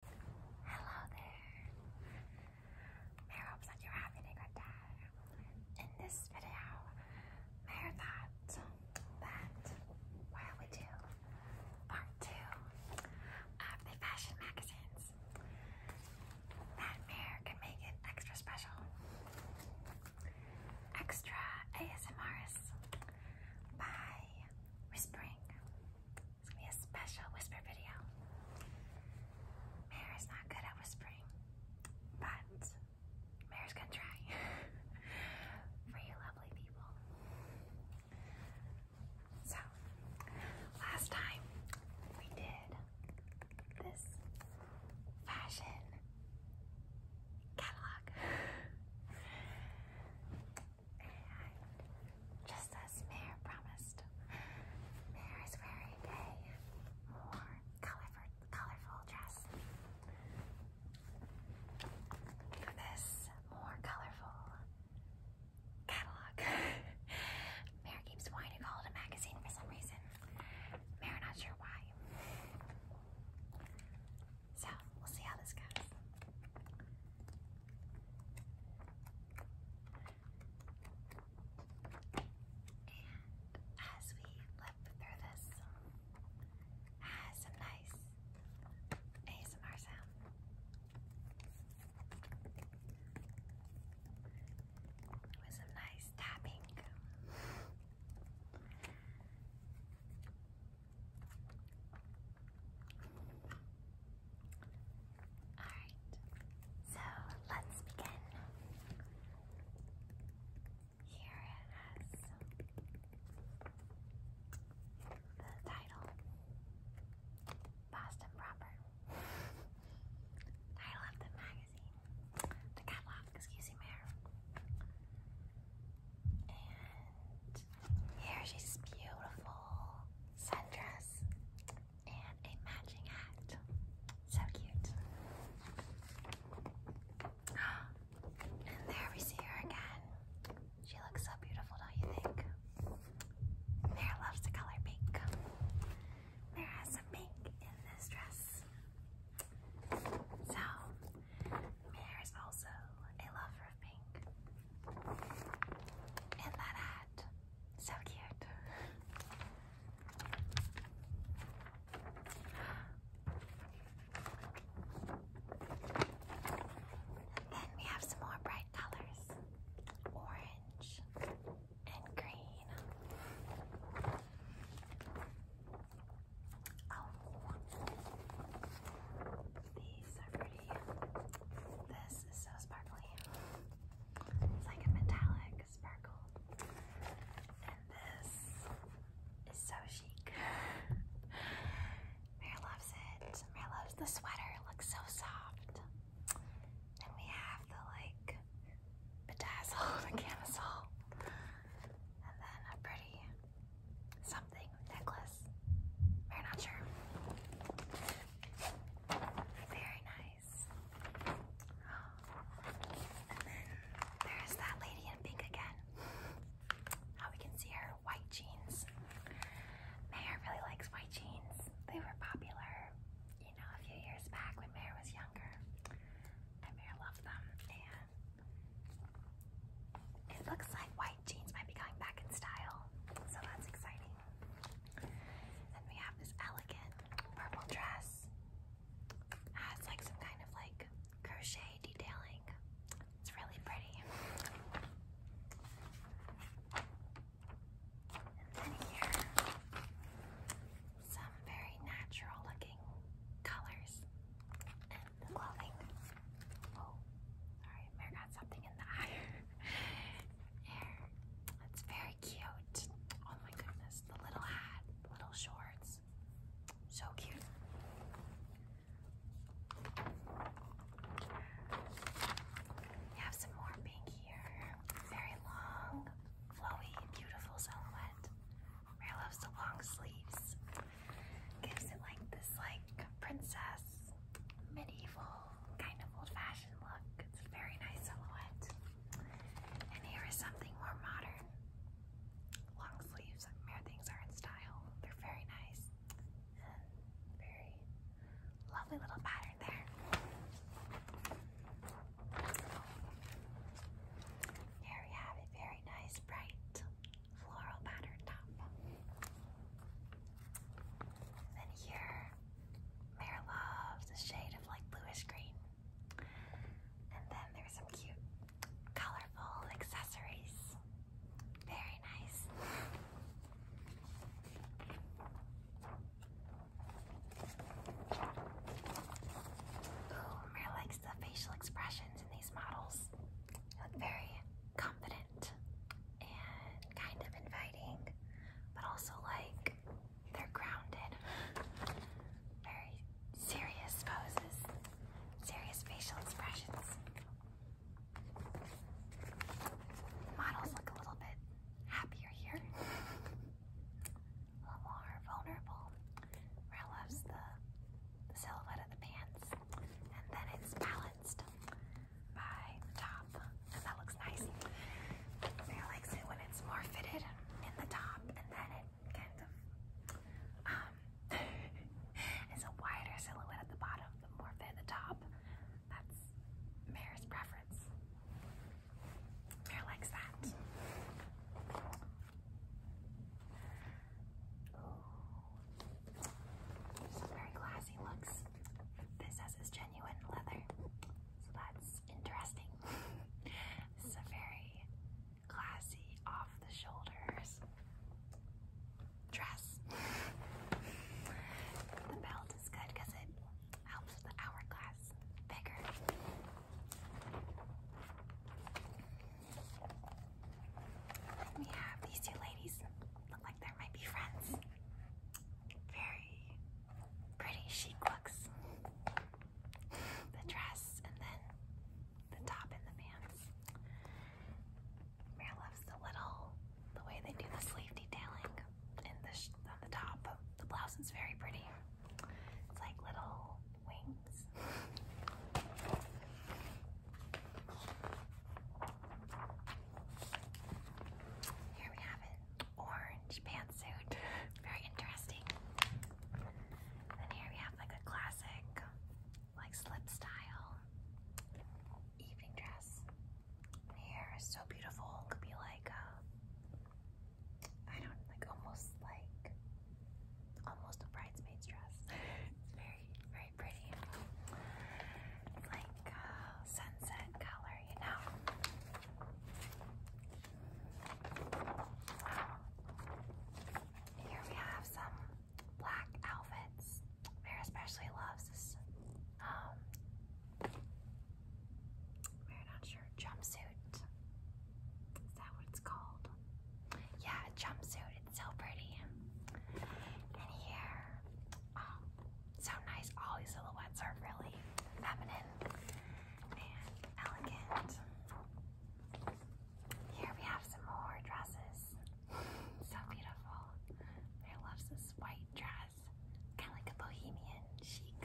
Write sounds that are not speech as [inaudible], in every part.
Hello there. Mary hopes that you're having a good day. In this video, Mary thought that while we do part two of the fashion magazines, that Mary can make it extra special. Extra ASMRs by whispering it's gonna be a special whisper video. Mary's not good at whispering, but Mary's gonna try [laughs] for you lovely people. So, last time we did this fashion catalog. [laughs] just as Mayor promised, Mayor is wearing a more colorful, colorful dress. This more colorful catalog. [laughs] Mayor keeps wanting to call it a magazine for some reason. Mayor, not sure why. So, we'll see how this goes. And as we flip through this, has some nice ASMR sound. With some nice tapping. Alright, so let's begin. Here it has the title Boston Proper. title of the magazine. The catalog, excuse me, Mayor. And here's beautiful sundress and a matching hat. So cute. [gasps] And there we see her again. She looks so beautiful, don't you think? Mare loves the color pink. Mare has some pink in this dress. So, Mare is also a lover of pink. And that hat. So cute. then we have some more bright colors. Orange and green. Oh. These are pretty. This is so sparkly. It's like a metallic sparkle. And this is so chic. Mare loves it. Mare loves the sweater. It looks so soft. And we have the like bedazzled [laughs] camisole. And then a pretty something necklace. we not sure. Very nice. there's that lady in pink again. How we can see her white jeans. Mayor really likes white jeans. They were popular, you know, a few years back when Mayor was younger. Mayor loved them. It looks like white jeans might be going back in style, so that's exciting. Then we have this elegant purple dress. Has like some kind of like crochet detailing. It's really pretty. And then here, some very natural looking colors the clothing. Oh, sorry, Mare got something in the eye. there. It's very cute. Oh my goodness, the little hat, little shorts. So cute. We have some more pink here. Very long, flowy, beautiful silhouette. Mary loves the long sleeves. Gives it like this like princess medieval kind of old-fashioned look. It's very nice silhouette. And here is something more modern. Long sleeves, mere are in style. They're very nice. And very lovely little pattern there. Here we have a very nice bright floral pattern top. Then here, Mare loves a shade of like bluish green. And then there's some cute, colorful accessories. Very nice. Ooh, Mare likes the facial expressions in these models. They look very confident and kind of inviting, but also like they're grounded. Very serious poses, serious facial expressions. Models look a little bit happier here, a little more vulnerable. Rel loves the the silhouette of the pants, and then it's balanced by the top, and that looks nice. I likes it when it's more fitted in the top, and then it kind of um, is [laughs] a wider silhouette at the bottom, the more fit at the top. That's Mare's preference. Mare likes that. This is very classy looks. This has it's genuine leather. So that's interesting. [laughs] this is a very classy off the shoulders dress. the belt is good because it helps the hourglass bigger. We have these two ladies. Look like they might be friends. Very pretty chic looks. The dress and then the top and the pants. Mare loves the little, the way they do the sleeve detailing in the on the top. The blouse is very pretty. It's like little wings. Here we have an orange pantsuit. Very interesting. And here we have like a classic, like slip style evening dress. here is so beautiful. Could be like a, uh, I don't like almost like almost a bridesmaid's dress. [laughs] it's very, very pretty. like uh, sunset color, you know. Here we have some black outfits. Mare especially loves this. Um, not sure. Jumpsuit. Is that what it's called? Yeah, jumpsuit so pretty. And here, um, so nice. All these silhouettes are really feminine and elegant. Here we have some more dresses. so beautiful. I love this white dress. Kind of like a bohemian chic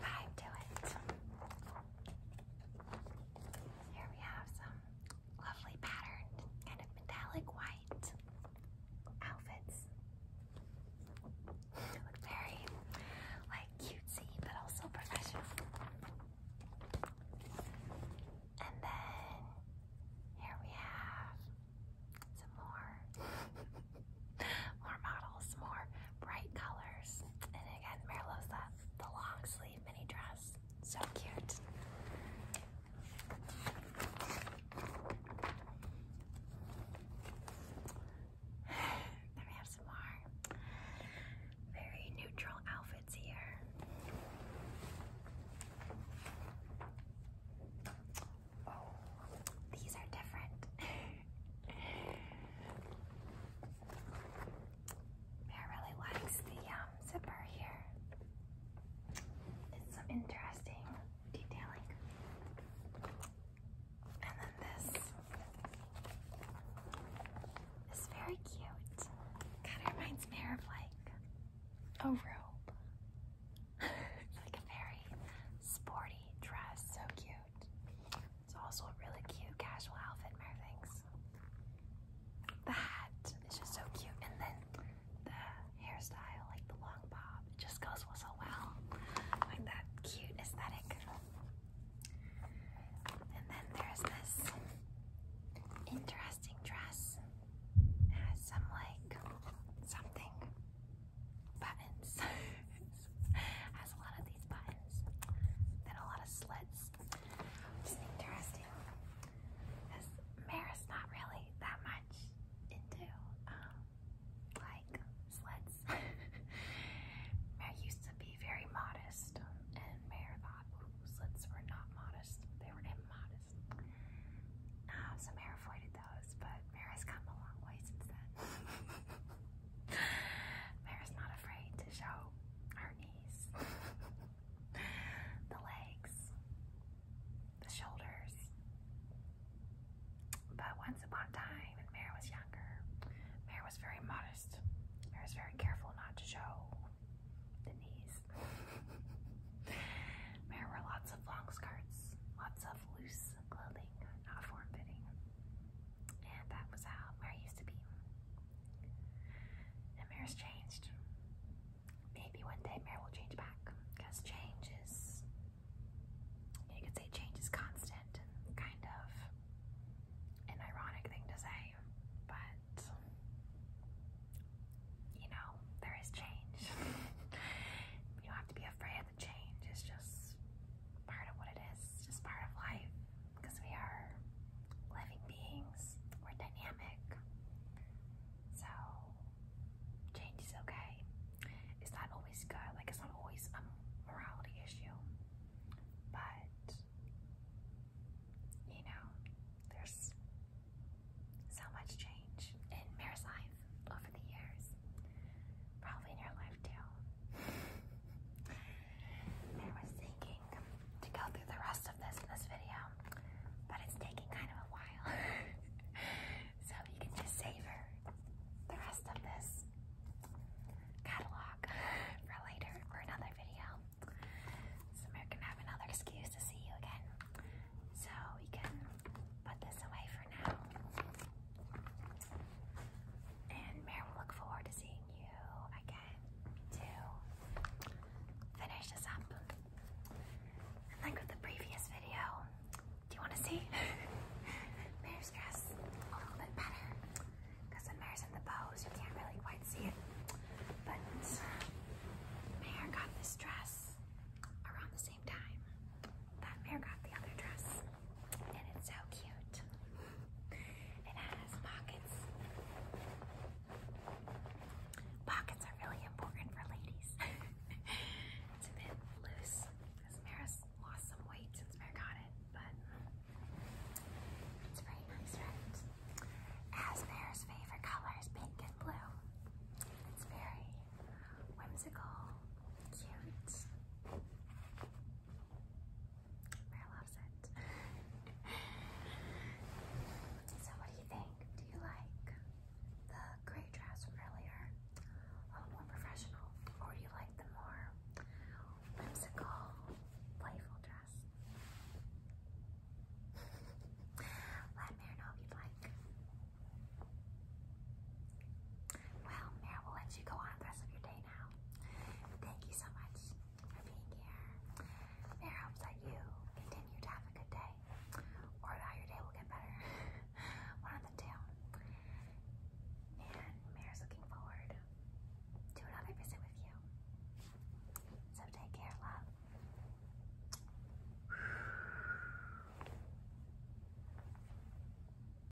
vibe to it. Here we have some lovely patterned, kind metallic white outfits. look very like cutesy, but also professional. And then here we have some more, [laughs] more models, more bright colors. And again, Mare loves the long sleeve mini dress. So cute. [sighs] Then we have some more very neutral outfits here. Oh, these are different. [laughs] Bear really likes the um, zipper here. It's some interesting detailing. And then this is very cute. Kind of reminds me of like a robe. [laughs] like a very sporty dress. So cute. It's also a really cute casual outfit, Mervings. The hat is just so cute, and then the hairstyle, like the long bob, it just goes so well. Like that cute aesthetic. And then there's this interesting dress. It has some like something buttons. [laughs] has a lot of these buttons. Then a lot of slits. Which is interesting, because Mara's not really that much into, um, like, sleds. [laughs] Mare used to be very modest, and Mare thought sleds were not modest, they were immodest. Um, so Mare avoided those, but Mare has come a long way since then. [laughs] Mara's not afraid to show her knees, the legs, the shoulders. But once upon time, when Mara was younger, Mara was very modest. Mara was very careful not to show the knees. [laughs] Mara wore lots of long skirts, lots of loose clothing, not form fitting. And that was how where I used to be. And Mare's changed. Maybe one day Mare will change back. Because change is, you could say change is constant and kind of an ironic thing to say. But, you know, there is change. [laughs] you don't have to be afraid of the change. It's just part of what It's just part of life because we are living beings, we're dynamic. So, change is okay. It's not always good, like, it's not always a morality issue, but you know, there's so much change in Mare's life over the years, probably in your life too. I was thinking to go through the rest of this in this video, but it's taking kind of a while. [laughs] so you can just savor the rest of this catalog [laughs] for later for another video. So we're gonna have another excuse to see you again. So we can put this away for now. And Mary will look forward to seeing you again to finish this up. like with the previous video, do you want to see [laughs] Mare's dress a little bit better? Because when Mare's in the pose, you can't really quite see it. But Mare got this dress around the same time that Mare got the other dress and it's so cute. It has pockets. Pockets are really important for ladies. [laughs] it's a bit loose because Mara's lost some weight since Mara got it, but it's very nice right? As Mara's favorite color pink and blue. It's very whimsical, cute. Mara loves it. so what do you think? Do you like the gray dress from earlier? A little more professional? Or do you like the more whimsical, playful dress? [laughs] Let Mara know if you'd like. Well, Mara will let you go on the rest of your day Thank you so much for being here. Mayor hopes that you continue to have a good day, or how your day will get better. [laughs] One of the two. And Mayor's looking forward to another visit with you. So take care, love.